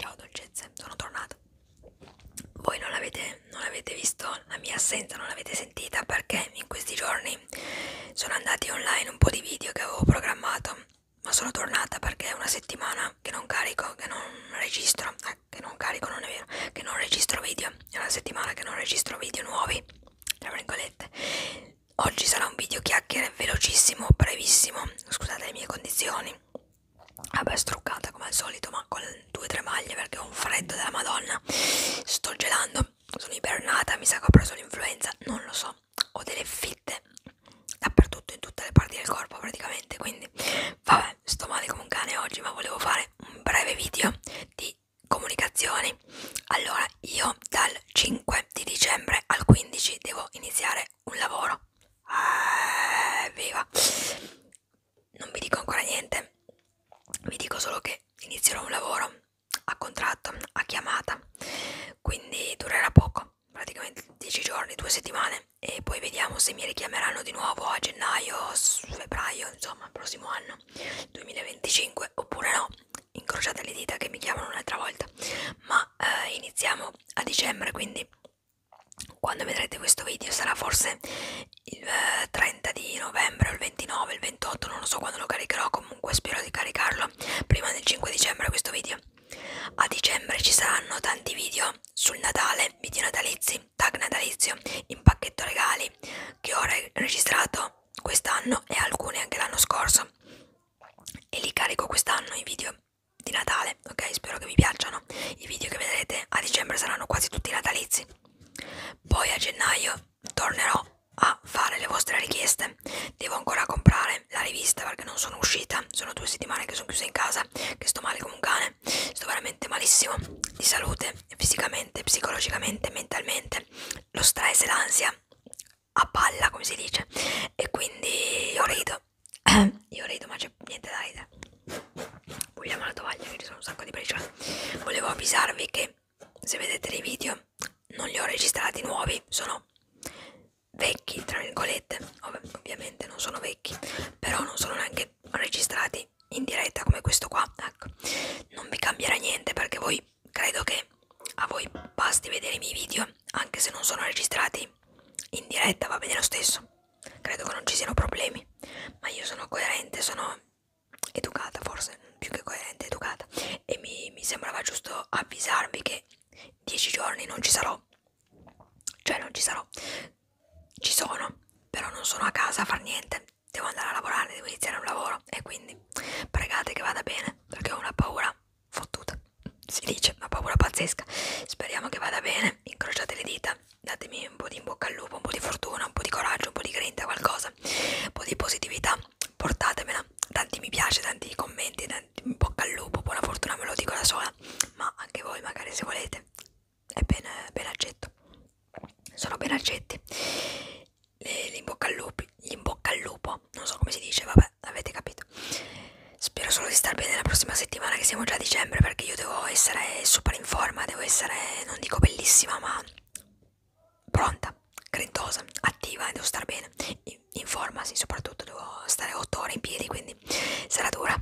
Ciao dolcezze, sono tornata. Voi non avete, non avete visto la mia assenza, non l'avete sentita perché in questi giorni sono andati online un po' di video che avevo programmato, ma sono tornata perché è una settimana che non carico, che non registro eh, che non carico non è vero che non registro video è una settimana che non registro video nuovi tra virgolette oggi sarà un video chiacchiere velocissimo brevissimo scusate le mie condizioni vabbè struccata come al solito ma con due o tre maglie perché ho un freddo della madonna sto gelando sono ibernata mi sa che ho preso l'influenza non lo so ho delle fitte dappertutto in tutte le parti del corpo praticamente quindi vabbè Vabbè, sto male come un cane oggi, ma volevo fare un breve video di comunicazioni. Allora, io dal 5 di dicembre al 15 devo iniziare un lavoro. Eh, viva! Non vi dico ancora niente, vi dico solo che inizierò un lavoro a contratto, a chiamata, quindi durerà poco, praticamente 10 giorni, 2 settimane e poi vediamo se mi richiameranno di nuovo a gennaio, febbraio, insomma, prossimo anno 2025 oppure no. Incrociate le dita che mi chiamano un'altra volta. Ma eh, iniziamo a dicembre, quindi quando vedrete questo video sarà forse il eh, 30 di novembre o il 29, il 28, non lo so quando lo caricherò, comunque spero di caricarlo prima del 5 dicembre questo video. A dicembre ci saranno tanti video sul Natale, video natalizi, tag natalizio in pacchetto regali che ho re registrato quest'anno e alcune anche l'anno scorso e li carico quest'anno i video di Natale, ok? Spero che vi piacciono. I video che vedrete a dicembre saranno quasi tutti natalizi. Poi a gennaio tornerò a fare le vostre richieste. Devo ancora comprare la rivista perché non sono uscita. Sono due settimane che sono chiusa in casa, che sto male come un cane me sto veramente malissimo di salute fisicamente, psicologicamente, mentalmente lo stress e l'ansia a palla come si dice e quindi io rido io rido ma c'è niente da ridere vogliamo la tovaglia che ci sono un sacco di briciole volevo avvisarvi che se vedete dei video non li ho registrati nuovi sono vecchi tra virgolette Ov ovviamente non sono vecchi però non sono neanche registrati in diretta come questo qua ecco non vi cambierà niente perché voi credo che a voi basti vedere i miei video anche se non sono registrati in diretta va bene lo stesso credo che non ci siano problemi ma io sono coerente sono educata forse più che coerente educata e mi, mi sembrava giusto avvisarvi che dieci giorni non ci sarò cioè non ci sarò ci sono, però non sono a casa a far niente, devo andare a lavorare, devo iniziare un lavoro e quindi pregate che vada bene perché ho una paura fottuta, si dice, una paura pazzesca, speriamo che vada bene, incrociate le dita, datemi un po' di in bocca al lupo, un po' di fortuna, un po' di coraggio, un po' di grinta, qualcosa, un po' di positività, portatemela, tanti mi piace, tanti commenti, tanti in bocca al lupo, buona fortuna me lo dico da sola, ma anche voi magari se volete è ben, ben accetto. Sono ben accetti. L'imbocca al lupo, gli imbocca al lupo, non so come si dice, vabbè, avete capito. Spero solo di star bene la prossima settimana che siamo già a dicembre perché io devo essere super in forma, devo essere, non dico bellissima, ma pronta, credosa, attiva, devo star bene. In, in forma, sì, soprattutto devo stare 8 ore in piedi, quindi sarà dura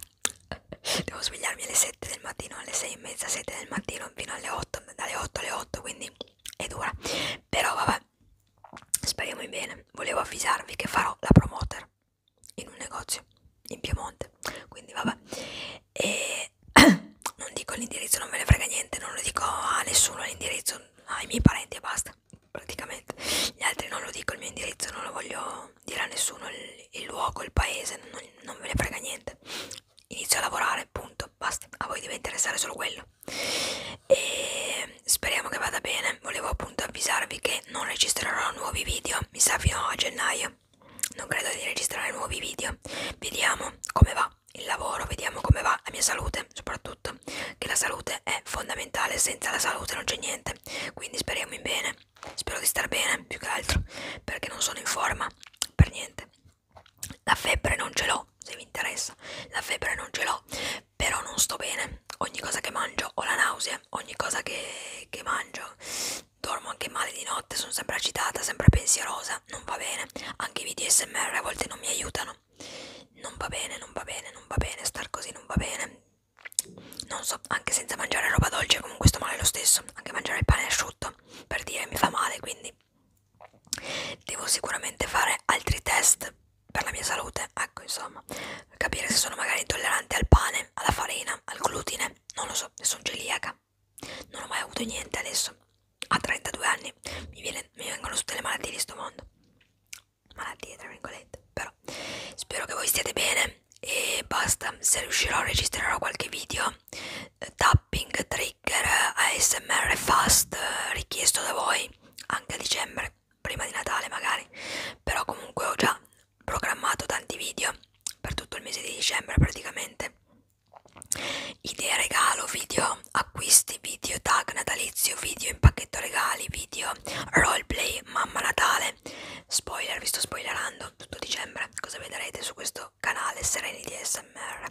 devo svegliarmi alle 7 del mattino, alle 6 e mezza, 7 del mattino, fino alle 8, dalle 8 alle 8, quindi è dura. Però vabbè, speriamo in bene. Volevo avvisarvi che farò la promoter in un negozio in Piemonte, quindi vabbè. E non dico l'indirizzo, non me ne frega niente, non lo dico a nessuno l'indirizzo, ai miei parenti e basta, praticamente. Gli altri non lo dico il mio indirizzo, non lo voglio nessuno dirà a nessuno il, il luogo, il paese, non, non ve ne frega niente. Inizio a lavorare, punto, basta, a voi deve interessare solo quello. E speriamo che vada bene, volevo appunto avvisarvi che non registrerò nuovi video, mi sa fino a gennaio. Non credo di registrare nuovi video. Vediamo come va il lavoro, vediamo come va la mia salute, soprattutto che la salute è fondamentale, senza la salute non c'è niente. Quindi speriamo in bene. Spero di star bene, più che altro, perché non sono in forma per niente. La febbre non ce l'ho, se vi interessa. La febbre non ce l'ho, però non sto bene. Ogni cosa che mangio ho la nausea, ogni cosa che, che mangio dormo anche male di notte, sono sempre agitata, sempre pensierosa, non va bene. Anche i video SMR a volte non mi aiutano. Non va bene, non va bene, non va bene, star così non va bene. Non so, anche senza mangiare roba dolce comunque sto male lo stesso, anche mangiare il pane asciutto per dire mi fa male quindi devo sicuramente fare altri test per la mia salute ecco insomma capire se sono magari intollerante al pane alla farina al glutine non lo so se sono celiaca non ho mai avuto niente adesso a 32 anni mi, viene, mi vengono tutte le malattie di sto mondo malattie tra virgolette però spero che voi stiate bene e basta se riuscirò registrerò qualche video eh, tapping trigger ASMR fast eh, richiesto da voi anche a dicembre prima di Natale magari però comunque ho già programmato tanti video per tutto il mese di dicembre praticamente idee regalo video acquisti video tag natalizio video in pacchetto regali video roleplay mamma natale spoiler vi sto spoilerando tutto dicembre cosa vedrete su questo mio canale Sereni di ASMR.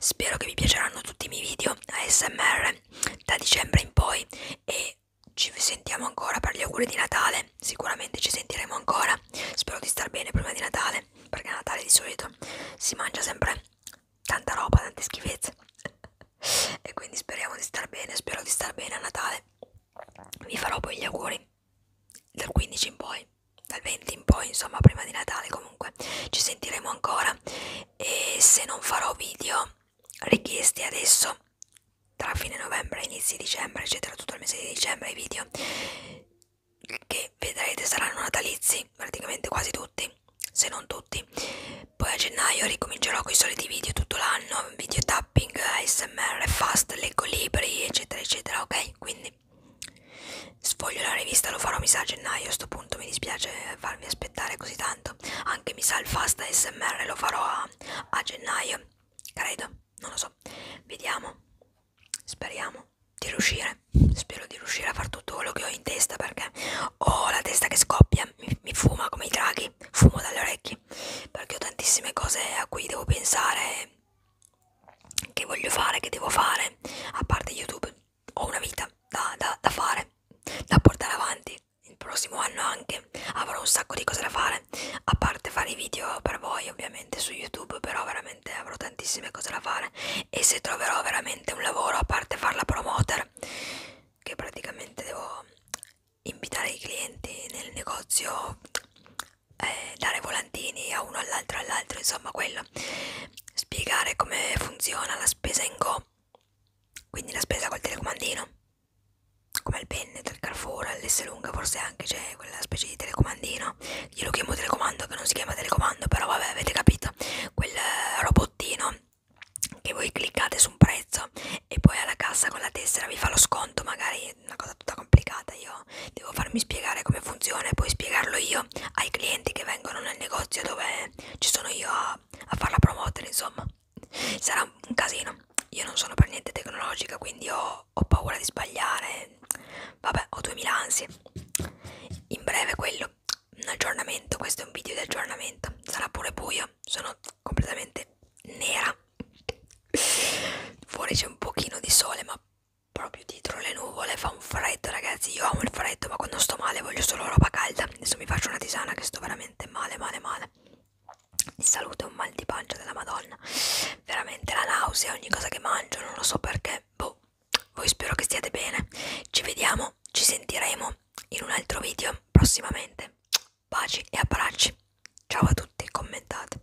Spero che vi piaceranno tutti i miei video ASMR da dicembre in poi e ci sentiamo ancora per gli auguri di Natale. Sicuramente ci sentiremo ancora. Spero di star bene prima di Natale, perché a Natale di solito si mangia sempre tanta roba, tante schifezze. e quindi speriamo di star bene, spero di star bene a Natale. Vi farò poi gli auguri dal 15 in poi, dal 20 in poi, insomma, prima di Natale comunque ci sentiremo ancora e se non farò video richiesti adesso tra fine novembre, inizi dicembre, eccetera, tutto il mese di dicembre i video che vedrete saranno natalizi, praticamente quasi tutti, se non tutti. Poi a gennaio ricomincerò con i soliti video tutto l'anno, video tapping, ASMR, fast, leggo libri, eccetera, eccetera, ok? Quindi Sfoglio la rivista, lo farò mi sa a gennaio, a sto punto mi dispiace farvi aspettare così tanto. Anche mi sa il fast SMR lo farò a, a gennaio, credo, non lo so. Vediamo, speriamo di riuscire, spero di riuscire a fare tutto quello che ho in testa perché ho la testa che scoppia, mi, mi fuma come i draghi, fumo dalle orecchie perché ho tantissime cose a cui devo pensare che voglio fare, che devo fare, a parte YouTube, ho una vita da, da, da fare, da portare avanti, il prossimo anno anche avrò un sacco di cose da fare, a parte fare i video per voi ovviamente su YouTube, però veramente avrò tantissime cose da fare e se troverò veramente un lavoro, a parte farla promoter, che praticamente devo invitare i clienti nel negozio eh, dare volantini a uno all'altro all'altro insomma quello spiegare come funziona la spesa in go quindi la spesa col telecomandino come il penne del Carrefour all'S lunga forse anche c'è cioè, quella specie di telecomandino io lo chiamo telecomando che non si chiama telecomando però vabbè avete capito quel robottino che voi cliccate su un prezzo e poi alla cassa con la tessera vi fa lo sconto magari è una cosa tutta complicata, io devo farmi spiegare come funziona e poi spiegarlo io ai clienti che vengono nel negozio dove ci sono io a, a fare la promoter, insomma. Sarà un casino. Io non sono per niente tecnologica, quindi ho, ho paura di sbagliare. Vabbè, ho 2000 ansie. In breve quello, un aggiornamento, questo è un video di aggiornamento. Sarà pure buio, sono completamente nera. Fuori c'è un pochino di sole, ma proprio dietro le nuvole fa un freddo ragazzi io amo il freddo ma quando sto male voglio solo roba calda adesso mi faccio una tisana che sto veramente male male male mi saluto un mal di pancia della madonna veramente la nausea ogni cosa che mangio non lo so perché boh voi spero che stiate bene ci vediamo ci sentiremo in un altro video prossimamente baci e abbracci ciao a tutti commentate